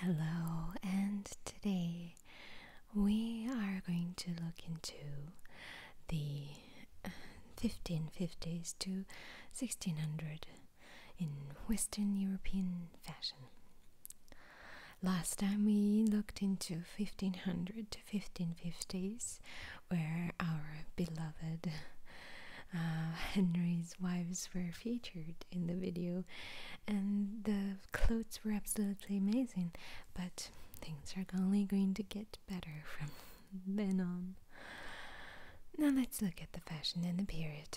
Hello, and today we are going to look into the 1550s to 1600 in Western European fashion. Last time we looked into 1500 to 1550s, where our beloved uh, Henry's wives were featured in the video, and the clothes were absolutely amazing. But things are only going to get better from then on. Now let's look at the fashion in the period.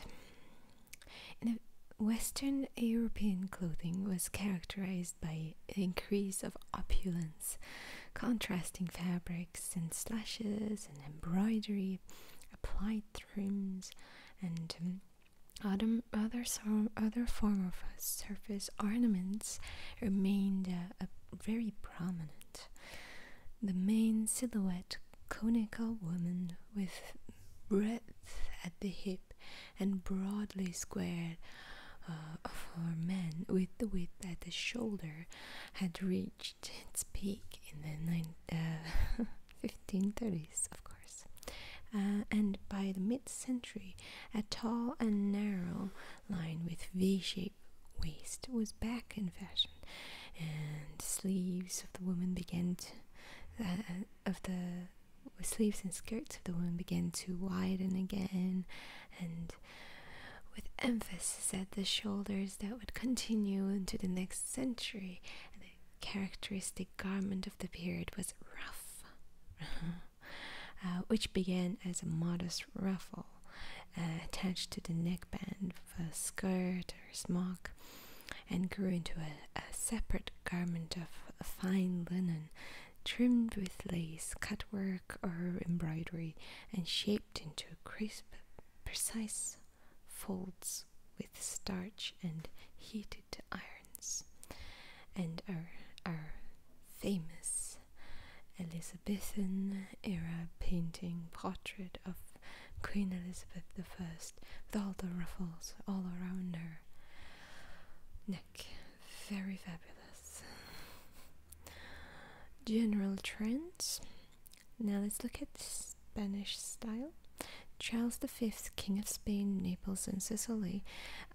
Western European clothing was characterized by increase of opulence, contrasting fabrics and slashes and embroidery, applied trims, and um, other, other, other form of uh, surface ornaments remained uh, very prominent. The main silhouette, conical woman with breadth at the hip and broadly squared uh, for men with the width at the shoulder, had reached reached its in the uh, 1530s, of course, uh, and by the mid century, a tall and narrow line with V shaped waist was back in fashion, and sleeves of the woman began to. Uh, of the sleeves and skirts of the women began to widen again and with emphasis at the shoulders that would continue into the next century characteristic garment of the period was ruff, uh-huh. uh, which began as a modest ruffle uh, attached to the neckband of a skirt or smock and grew into a, a separate garment of fine linen trimmed with lace, cutwork, or embroidery and shaped into a crisp, precise folds with starch and heated irons, and our, our famous Elizabethan era painting portrait of Queen Elizabeth I with all the ruffles all around her neck. Very fabulous. General trends. Now let's look at Spanish style. Charles V, King of Spain, Naples, and Sicily,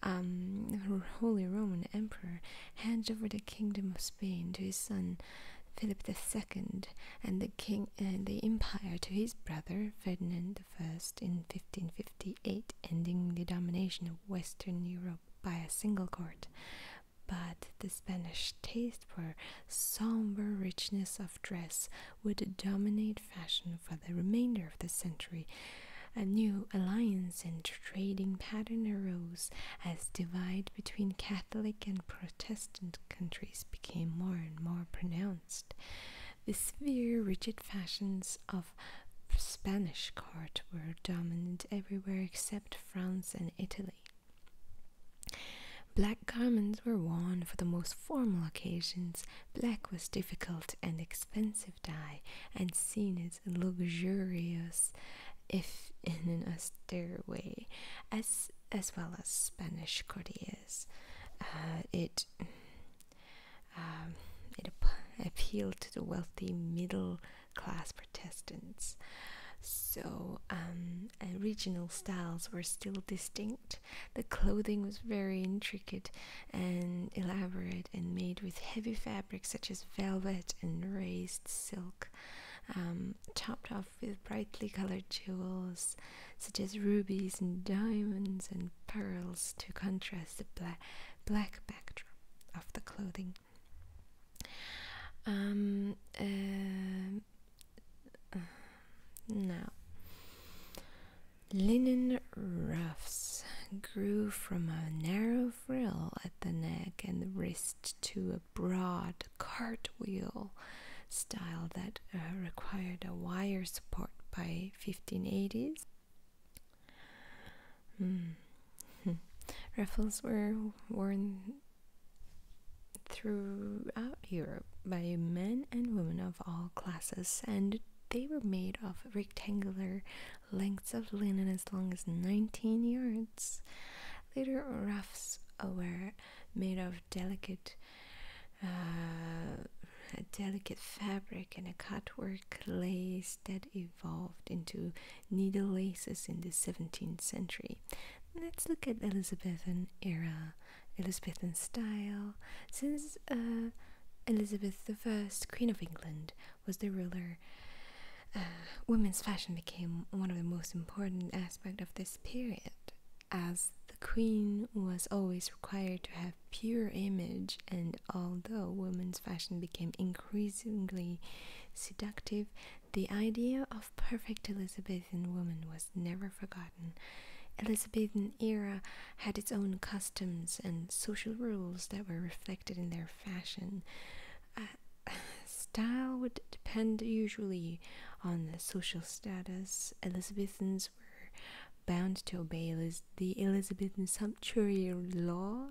um, Holy Roman Emperor, handed over the kingdom of Spain to his son Philip II, and the king and the empire to his brother Ferdinand I in 1558, ending the domination of Western Europe by a single court. But the Spanish taste taste for somber richness of dress would dominate fashion for the remainder of the century. A new alliance and trading pattern arose as divide between Catholic and Protestant countries became more and more pronounced. The severe, rigid fashions of Spanish court were dominant everywhere except France and Italy. Black garments were worn for the most formal occasions. Black was difficult and expensive dye, and seen as luxurious, if in an austere way, as as well as Spanish courtiers. Uh, it um, it appealed to the wealthy middle class Protestants. So um, regional styles were still distinct the clothing was very intricate and elaborate and made with heavy fabrics such as velvet and raised silk, um, topped off with brightly colored jewels such as rubies and diamonds and pearls to contrast the bla black backdrop of the clothing. Um, uh, um, now, linen ruffs grew from a narrow frill at the neck and wrist to a broad cartwheel style that uh, required a wire support by 1580s. Mm. Ruffles were worn throughout Europe by men and women of all classes, and they were made of rectangular lengths of linen as long as 19 yards. Later, ruffs were made of delicate, uh, delicate fabric and a cutwork lace that evolved into needle laces in the 17th century. Let's look at Elizabethan era Elizabethan style, since uh, Elizabeth I, Queen of England, was the ruler. Uh, women's fashion became one of the most important aspects of this period, as the queen was always required to have pure image, and although women's fashion became increasingly seductive, the idea of perfect Elizabethan woman was never forgotten. Elizabethan era had its own customs and social rules that were reflected in their fashion. Uh, style would depend usually on the social status. Elizabethans were bound to obey the Elizabethan sumptuary law,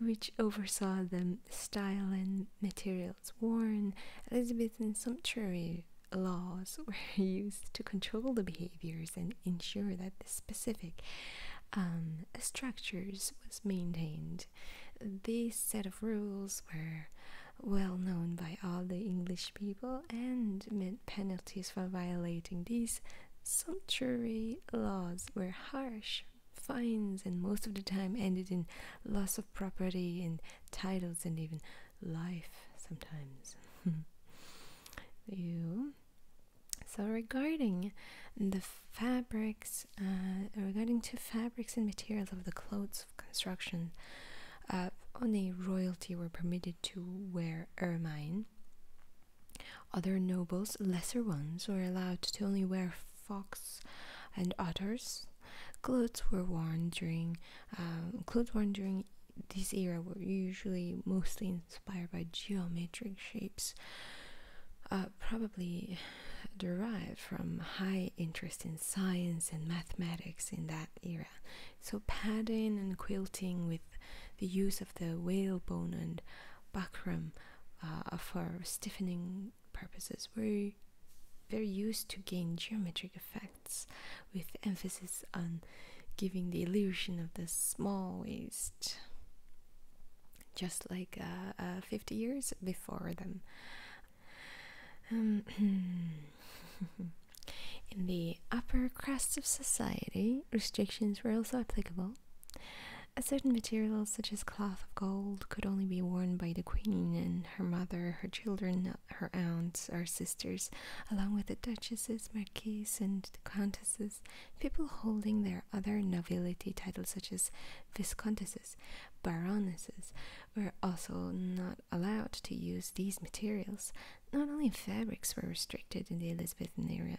which oversaw the style and material worn Elizabethan sumptuary laws were used to control the behaviors and ensure that the specific um, structures was maintained. This set of rules were well known by all the English people and meant penalties for violating these sumptuary laws were harsh. Fines and most of the time ended in loss of property and titles and even life sometimes. you. So regarding the fabrics, uh, regarding to fabrics and materials of the clothes of construction, uh, only royalty were permitted to wear ermine. Other nobles, lesser ones, were allowed to only wear fox and otters, Clothes were worn during um, clothes worn during this era were usually mostly inspired by geometric shapes, uh, probably derived from high interest in science and mathematics in that era. So padding and quilting with the use of the whalebone and buckram uh, for stiffening purposes were they're used to gain geometric effects with emphasis on giving the illusion of the smallest. just like uh, uh, 50 years before them um, in the upper crust of society restrictions were also applicable certain materials, such as cloth of gold could only be worn by the queen and her mother her children her aunts, her sisters, along with the duchesses, marquises, and countesses, people holding their other nobility titles such as viscountesses, baronesses, were also not allowed to use these materials. Not only fabrics were restricted in the Elizabethan era,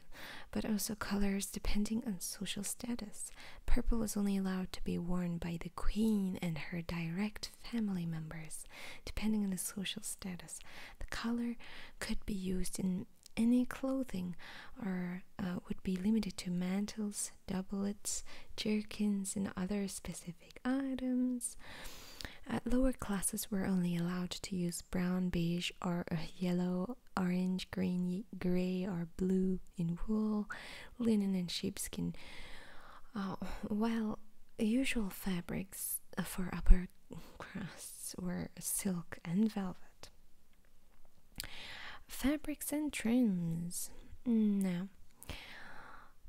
but also colors depending on social status. Purple was only allowed to be worn by the queen and her direct family members, depending on the social status. The color could be used in any clothing or uh, would be limited to mantles, doublets, jerkins, and other specific items. At uh, lower classes were only allowed to use brown, beige, or uh, yellow, orange, green, gray, or blue in wool, linen, and sheepskin. Oh, well, usual fabrics uh, for upper crusts were silk and velvet. Fabrics and trims. now.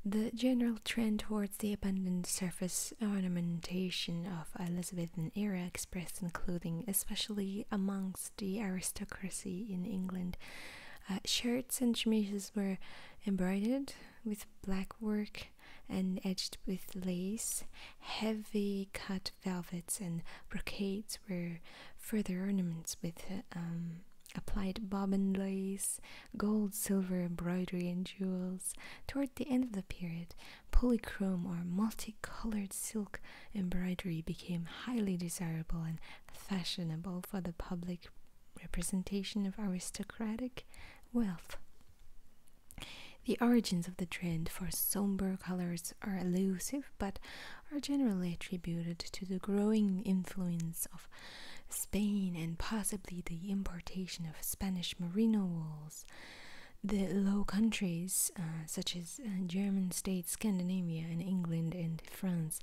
The general trend towards the abundant surface ornamentation of Elizabethan era expressed in clothing, especially amongst the aristocracy in England, uh, shirts and chemises were embroidered with black work and edged with lace. Heavy cut velvets and brocades were further ornaments with um, applied bobbin lace, gold, silver embroidery, and jewels. Toward the end of the period, polychrome or multi-colored silk embroidery became highly desirable and fashionable for the public representation of aristocratic wealth. The origins of the trend for somber colors are elusive but are generally attributed to the growing influence of Spain and possibly the importation of Spanish merino wool. The Low Countries, uh, such as uh, German states, Scandinavia, and England and France,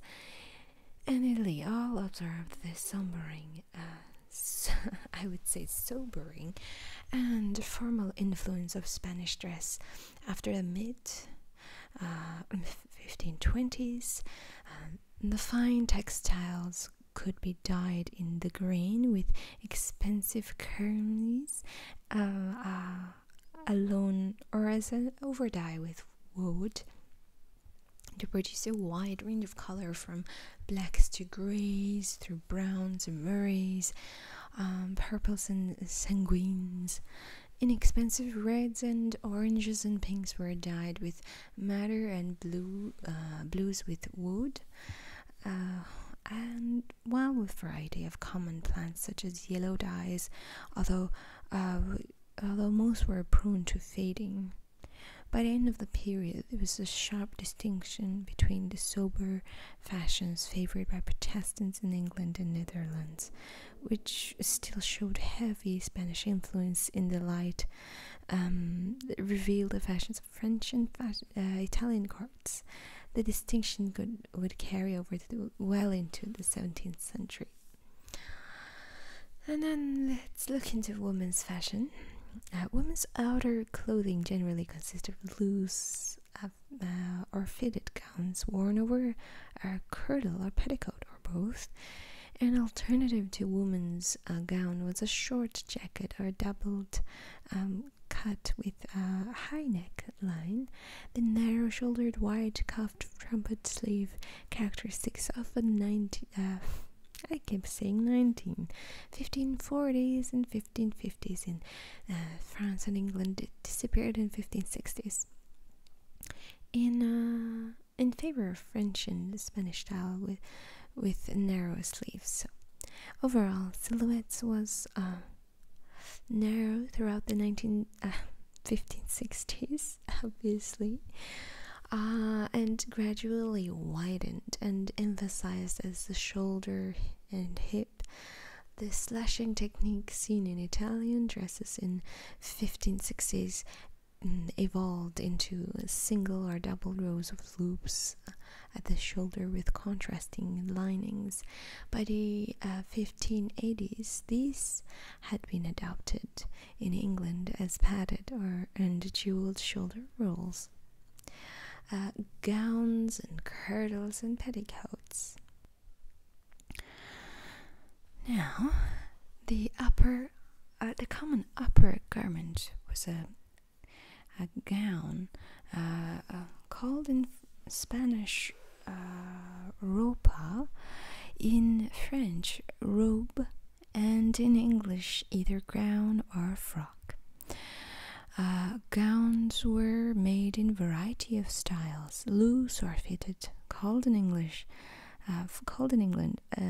and Italy all observed this sombering, uh, I would say sobering, and formal influence of Spanish dress after the mid 1520s. Uh, um, the fine textiles could be dyed in the green with expensive kermes uh, alone or as an overdye with wood to produce a wide range of color from blacks to grays through browns and murrays, um, purples and sanguines. Inexpensive reds and oranges and pinks were dyed with madder and blue uh, blues with wood. Uh, and while with variety of common plants such as yellow dyes, although uh, although most were prone to fading. By the end of the period, there was a sharp distinction between the sober fashions favored by Protestants in England and Netherlands, which still showed heavy Spanish influence in the light, um, revealed the fashions of French and uh, Italian courts. The distinction would carry over well into the 17th century. And then let's look into women's fashion. Uh, women's outer clothing generally consists of loose uh, uh, or fitted gowns worn over a kirtle or petticoat or both. An alternative to women's gown was a short jacket or doubled um, cut with a high neck line. The narrow shouldered wide cuff trumpet sleeve, characteristics of the 19, uh, I keep saying 19, 1540s and 1550s in uh, France and England. It disappeared in 1560s. In uh, in favor of French and Spanish style with with narrow sleeves. Overall, silhouettes was narrow throughout the 19 1560s, uh, obviously, uh, and gradually widened and emphasized as the shoulder and hip. The slashing technique seen in Italian dresses in 1560s mm, evolved into single or double rows of loops at the shoulder with contrasting linings. By the 1580s, uh, these had been adopted in England as padded or and jeweled shoulder rolls, uh, gowns and kirtles and petticoats. Now, the upper, uh, the common upper garment was a a gown uh, called in Spanish ropa, in French robe, and in English either gown or frock. Uh, gowns were made in variety of styles, loose or fitted, called in English, uh, called in England a,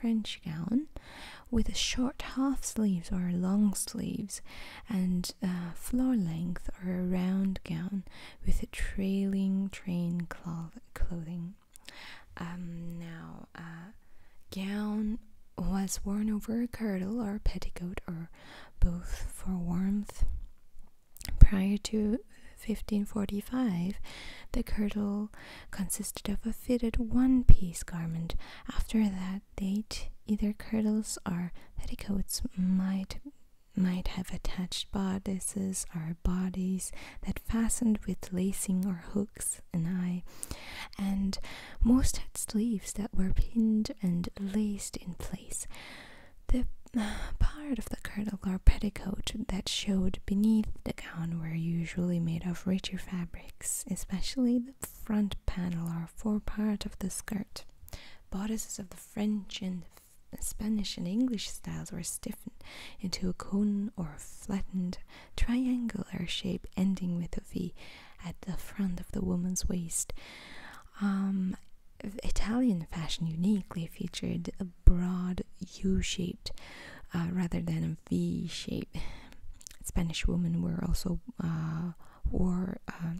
French gown, with short half sleeves or long sleeves, and uh, floor length or a round gown with a trailing train cloth clothing. Um, now, uh, gown was worn over a kirtle or petticoat or both for warmth. Prior to 1545, the kirtle consisted of a fitted one piece garment. After that date, either kirtles or petticoats might might have attached bodices or bodies that fastened with lacing or hooks and I and most had sleeves that were pinned and laced in place. The uh, part of the kirtle or petticoat that showed beneath the gown were usually made of richer fabrics, especially the front panel or forepart of the skirt. Bodices of the French and Spanish and English styles were stiffened into a cone or flattened triangular shape ending with a V at the front of the woman's waist. Um, Italian fashion uniquely featured a broad U shaped uh, rather than a V V-shaped. Spanish women were also uh, wore uh,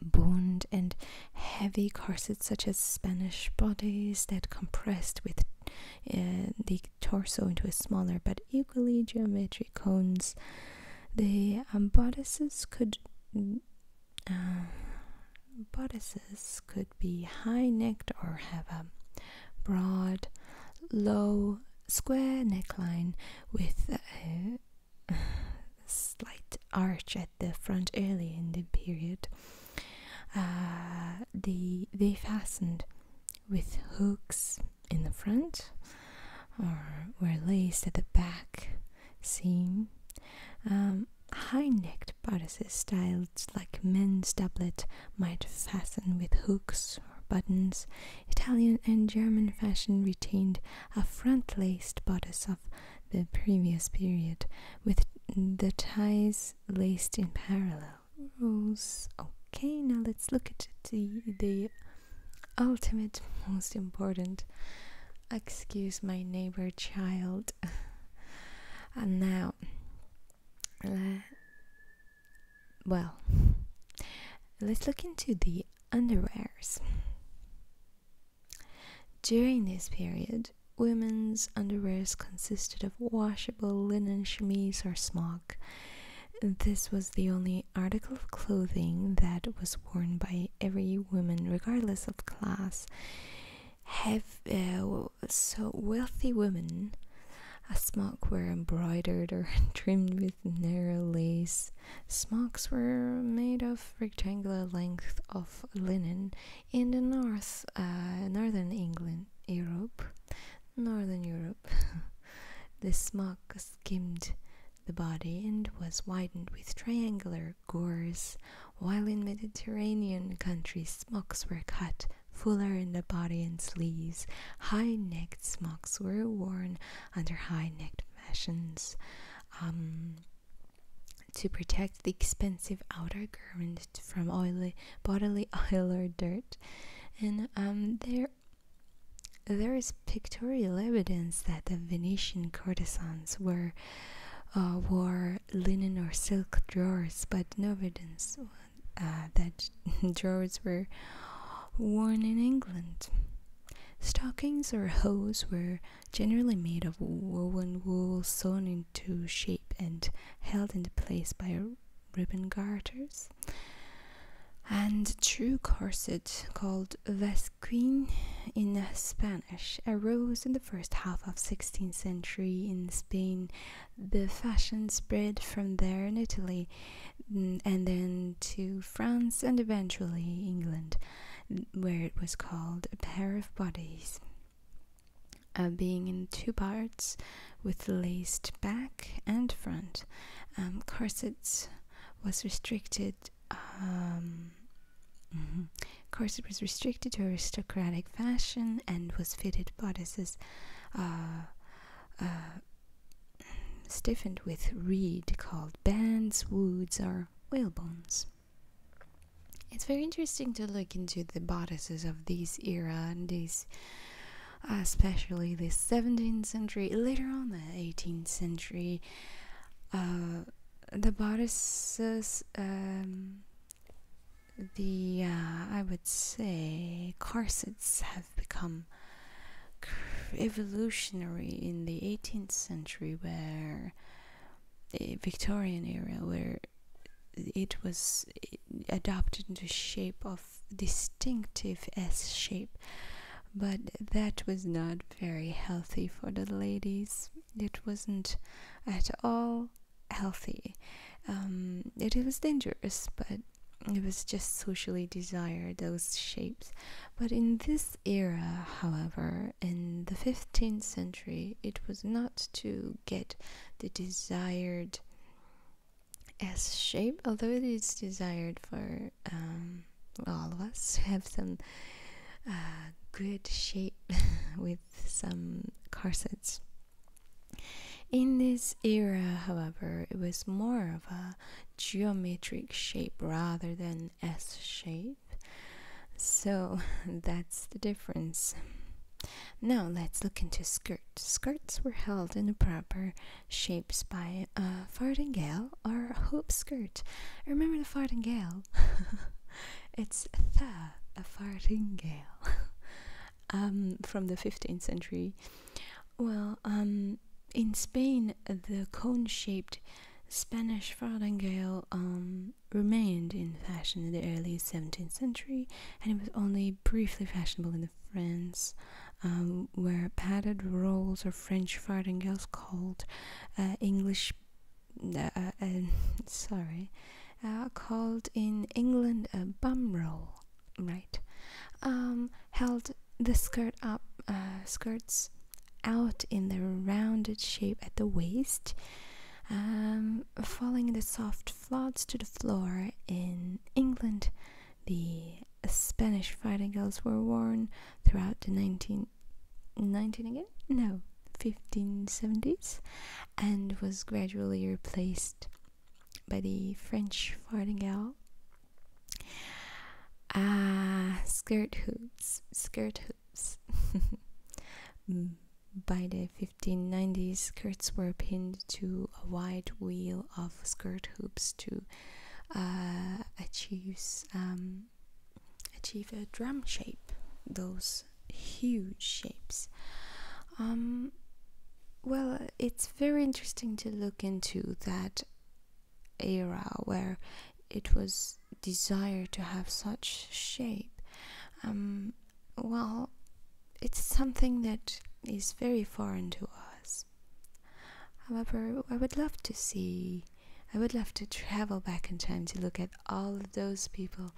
boned and heavy corsets such as Spanish bodies that compressed with uh, the torso into a smaller but equally geometric cones. The um, bodices could mm, uh, bodices could be high-necked or have a broad, low, square neckline with a slight arch at the front early in the period. Uh, they they fastened with hooks in the front or were laced at the back Seen um, High-necked bodices styled like men's doublet might fasten with hooks or buttons. Italian and German fashion retained a front-laced bodice of the previous period, with the ties laced in parallel rows. Okay, now let's look at the the ultimate, most important. Excuse my neighbor child. and now, uh, well, let's look into the underwears. During this period, women's underwears consisted of washable linen chemise or smock. This was the only article of clothing that was worn by every woman, regardless of class. Have, uh, so wealthy women, a smock were embroidered or trimmed with narrow lace. Smocks were made of rectangular length of linen in the north, uh, northern England, Europe, northern Europe, the smock skimmed the body and was widened with triangular gours. while in Mediterranean countries smocks were cut fuller in the body and sleeves. High-necked smocks were worn under high-necked fashions. Um, to protect the expensive outer garment from oily bodily oil or dirt and um, there there is pictorial evidence that the Venetian courtesans uh, wore linen or silk drawers, but no evidence uh, that drawers were worn in England. Stockings or hose were generally made of woven wool sewn into shape and held in place by ribbon garters. And a true corset called vasquin in Spanish arose in the first half of 16th century in Spain. The fashion spread from there in Italy mm, and then to France and eventually England, where it was called a pair of bodies. Uh, being in two parts with laced back and front. Um, corsets was restricted. Um, mm -hmm. Corset was restricted to aristocratic fashion and was fitted bodices uh, uh, stiffened with reed called bands, woods, or whalebones. It's very interesting to look into the bodices of this era and uh, especially the 17th century, later on the 18th century. Uh, the bodices, um, the uh, I would say corsets have become evolutionary in the 18th century, where the Victorian era where it was adapted into shape of distinctive S shape but that was not very healthy for the ladies it wasn't at all healthy um, it was dangerous but it was just socially desired those shapes but in this era however in the 15th century it was not to get the desired S shape, although it is desired for um, all of us to have some uh, good shape with some corsets. In this era, however, it was more of a geometric shape rather than S shape so that's the difference now let's look into skirts skirts were held in proper shapes by a uh, farthingale or hoop skirt remember the farthingale it's the a farthingale um, from the 15th century well um, in spain the cone-shaped spanish farthingale um, remained in fashion in the early 17th century and it was only briefly fashionable in France, um, where padded rolls or French farthingales called uh, English. Uh, uh, sorry, called in England a bum roll, right? Um, held the skirt up, skirts out in the rounded shape at the waist, um, falling the soft floods to the floor in England. The Spanish fighting were worn throughout the 19, 19 again? No, 1570s and was gradually replaced by the French fartingale. Ah, skirt hoops, skirt hoops. Mm. By the 1590s, skirts were pinned to a wide wheel of skirt hoops to uh, achieve um, achieve a drum shape. Those huge shapes. Um, well, it's very interesting to look into that era where it was desire to have such shape um, well it's something that is very foreign to us however i would love to see i would love to travel back in time to look at all of those people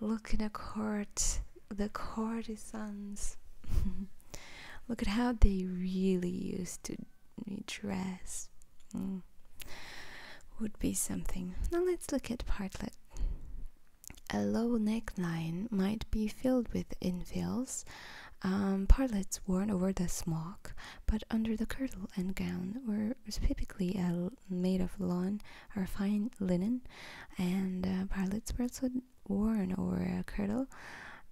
look in a court the courtisans, look at how they really used to dress hmm. would be something now let's look at partlet a low neckline might be filled with infills, um, partlets worn over the smock, but under the kirtle and gown were typically made of lawn or fine linen, and uh, partlets were also worn over a kirtle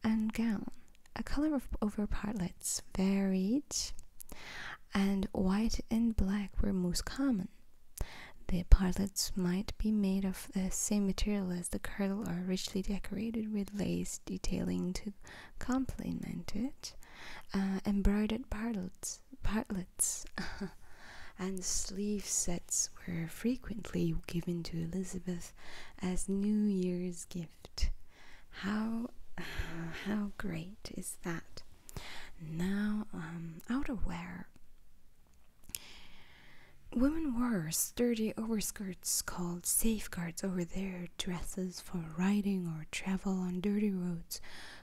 and gown. A color of over partlets varied, and white and black were most common. The partlets might be made of the same material as the kirtle or richly decorated with lace detailing to complement it. Uh, embroidered partlets, and sleeve sets were frequently given to Elizabeth as New Year's gift. How, how great is that? Now, um, outerwear. Women wore sturdy overskirts called safeguards over their dresses for riding or travel on dirty roads.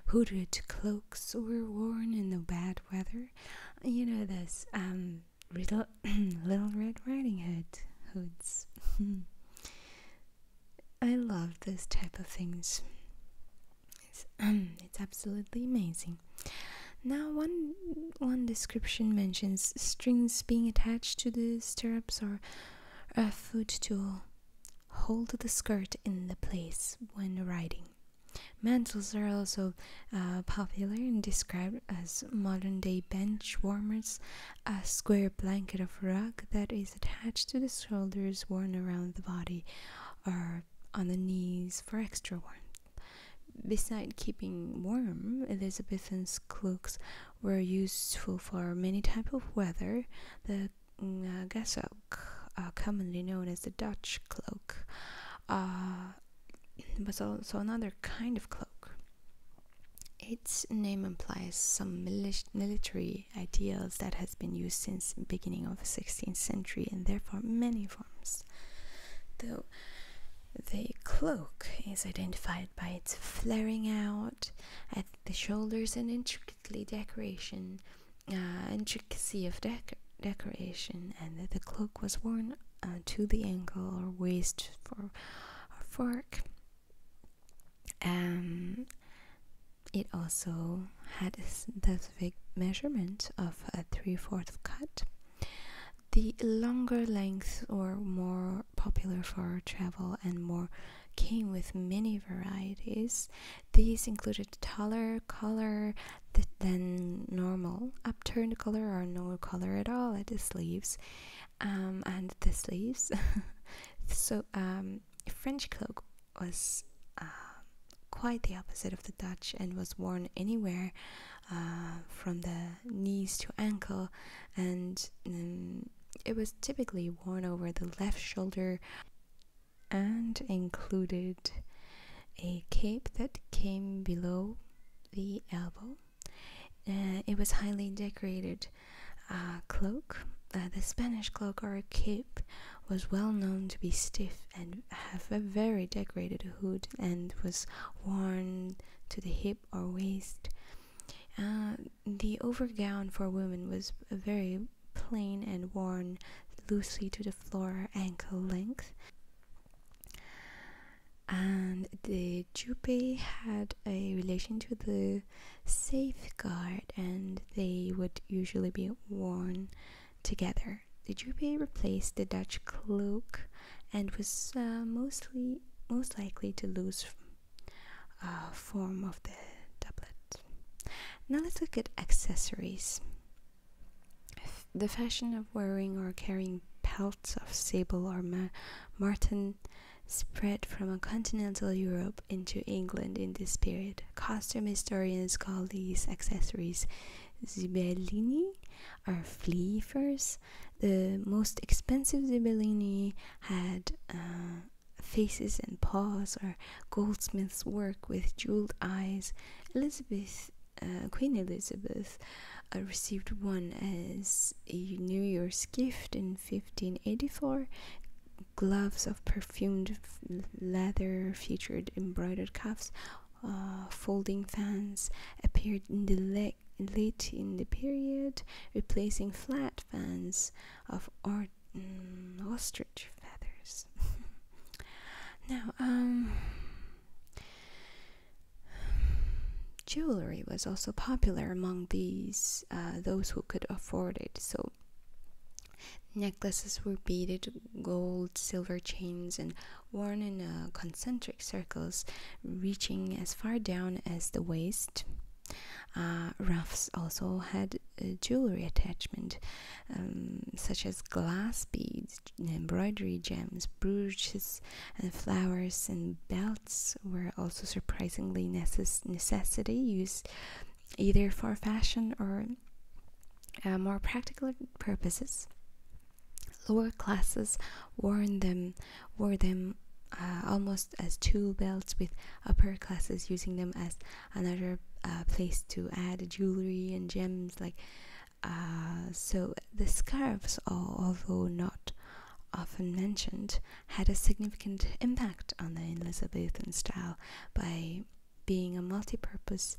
Hooded cloaks were worn in the bad weather. You know this, um, little, little Red Riding Hood hoods. I love those type of things. Um, it's, absolutely amazing. Now, one one description mentions strings being attached to the stirrups or a uh, foot to hold the skirt in the place when riding. Mantles are also uh, popular and described as modern day bench warmers, a square blanket of rug that is attached to the shoulders, worn around the body or on the knees for extra warmth. Besides keeping warm, Elizabethan cloaks were useful for many types of weather. The mm, uh, uh, commonly known as the Dutch cloak, uh, was also another kind of cloak. Its name implies some mili military ideals that has been used since beginning of 16th century and therefore many forms though the cloak is identified by its flaring out at the shoulders and intricately decoration uh, intricacy of dec decoration and that the cloak was worn uh, to the ankle or waist for a fork um, it also had a specific measurement of a three-fourth cut. The longer lengths were more popular for travel and more came with many varieties. These included taller color than normal, upturned color or no color at all at the sleeves, um, and the sleeves. so um, French cloak was um, quite the opposite of the Dutch and was worn anywhere uh, from the knees to ankle, and um, it was typically worn over the left shoulder and included a cape that came below the elbow. and uh, it was highly decorated uh, cloak, the Spanish cloak or cape, was well known to be stiff and have a very decorated hood and was worn to the hip or waist. Uh, the overgown for women was very plain and worn loosely to the floor ankle length. And the jupe had a relation to the safeguard and they would usually be worn together. The jubé replaced the Dutch cloak and was uh, mostly most likely to lose uh, form of the doublet. Now let's look at accessories. the fashion of wearing or carrying pelts of sable or marten spread from continental Europe into England in this period. Costume historians call these accessories zibellini or fleefers. The most expensive zibellini had uh, faces and paws or goldsmith's work with jeweled eyes. Elizabeth uh, Queen Elizabeth uh, received one as a New Year's gift in 1584 gloves of perfumed leather featured embroidered cuffs. Uh, folding fans appeared in the late in the period, replacing flat fans of mm, ostrich feathers. now, um, jewelry was also popular among these uh, those who could afford it. So Necklaces were beaded gold, silver chains, and worn in uh, concentric circles, reaching as far down as the waist. Uh, ruffs also had uh, jewelry attachment, um, such as glass beads, embroidery gems, brooches, and flowers. And belts were also surprisingly necess necessity used either for fashion or uh, more practical purposes. Lower classes worn them wore them uh, almost as tool belts, with upper classes using them as another uh, place to add jewelry and gems. Like so, the scarves, although not often mentioned, had a significant impact on the Elizabethan style by being a multi-purpose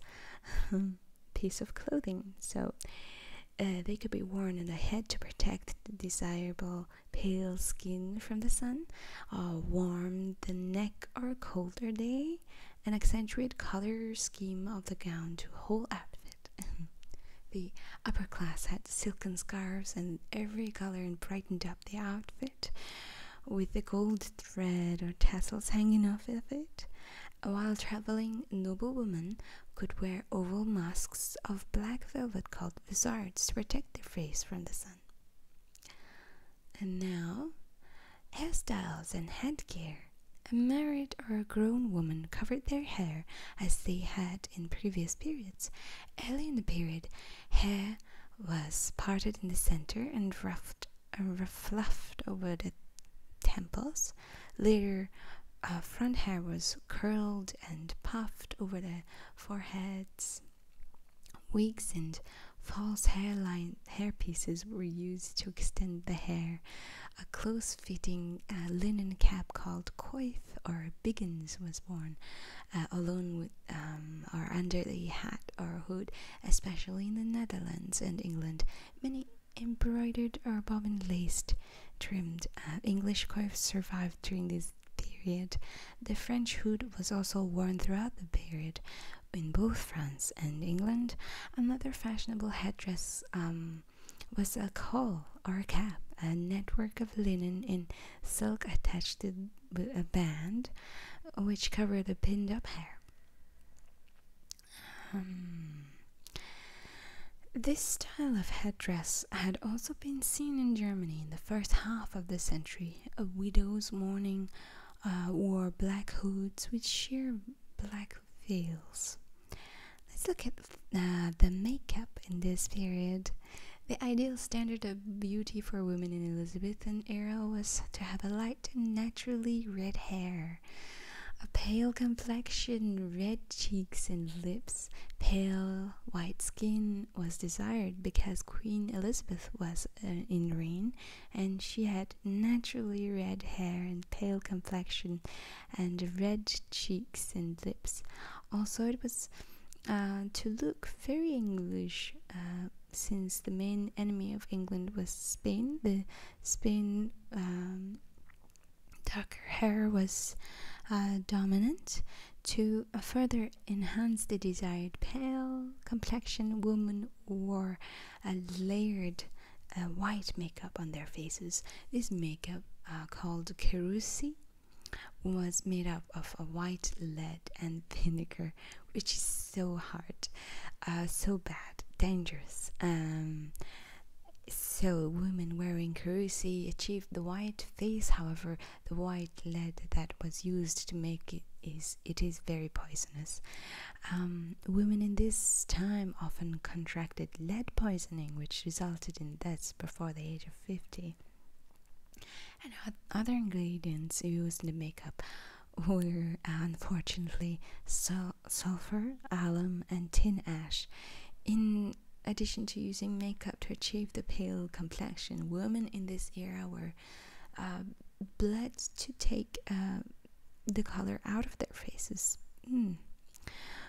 um, piece of clothing. So uh, they could be worn on the head to protect the desirable pale skin from the sun, uh, warm the neck or colder day, and accentuate color scheme of the gown to whole outfit. the upper class had silken scarves and every color and brightened the outfit with the gold thread or tassels hanging off of it. While traveling, noble women could wear oval masks of black velvet called visards to protect their face from the sun. And now, hairstyles and headgear. A married or a grown woman covered their hair as they had in previous periods. Early in the period, hair was parted in the center and ruffed, uh, fluffed over the temples. Later, uh, front hair was curled and puffed over the foreheads. Wigs and false hairline hairpieces were used to extend the hair. A close-fitting uh, linen cap called coif or biggins was worn, uh, along with. Or um, under the hat or hood, especially in the Netherlands and England. Many embroidered or bobbin-laced trimmed uh, English coifs survived during this period. The French hood was also worn throughout the period in both France and England. Another fashionable headdress um, was a caul or a cap, a network of linen and silk attached to a band which covered the pinned up hair. Um, this style of headdress had also been seen in Germany in the first half of the century. widow's mourning uh, wore black hoods with sheer black veils. Let's look at uh, the makeup in this period. The ideal standard of beauty for women in Elizabethan era was to have a light naturally red hair, a pale complexion, red cheeks and lips, pale white skin was desired because Queen Elizabeth was uh, in reign and she had naturally red hair and pale complexion and red cheeks and lips. Also, it was uh, to look very English, uh, since the main enemy of England was Spain, the Spain um, darker hair was uh, dominant to uh, further enhance the desired pale complexion, women wore a layered uh, white makeup on their faces. This makeup, called kerusi, was made up of a white lead and vinegar, which is so hard, uh, so bad, dangerous. Um, so, women wearing kurusi achieved the white face. However, the white lead that was used to make it is it is very poisonous. Um, women in this time often contracted lead poisoning, which resulted in deaths before the age of fifty and other ingredients used in the makeup were unfortunately sulfur, alum, and tin ash. In addition to using makeup to achieve the pale complexion, women in this era were uh, bled to take uh, the color out of their faces. Hmm.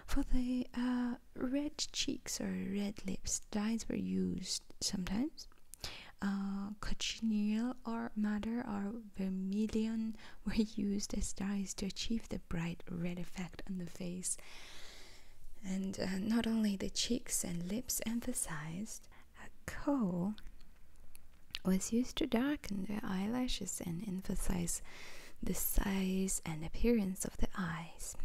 For the uh, red cheeks or red lips, dyes were used sometimes, uh, cochineal or madder or vermilion were used as dyes to achieve the bright red effect on the face. And uh, not only the cheeks and lips emphasized, a coal was used to darken the eyelashes and emphasize the size and appearance of the eyes.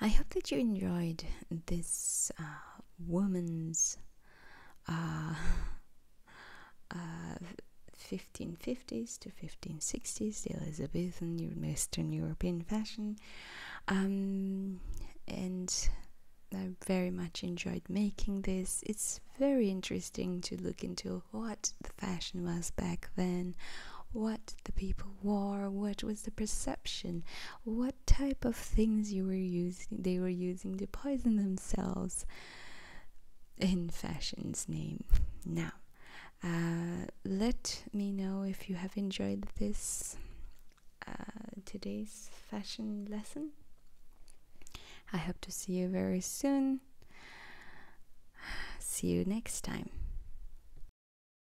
I hope that you enjoyed this uh, woman's 1550s uh, uh, to 1560s, the Elizabethan Western European fashion, um, and I very much enjoyed making this. It's very interesting to look into what the fashion was back then, what the people wore, what was the perception, what type of things you were using they were using to poison themselves in fashion's name. Now, uh, let me know if you have enjoyed this uh, today's fashion lesson. I hope to see you very soon. See you next time.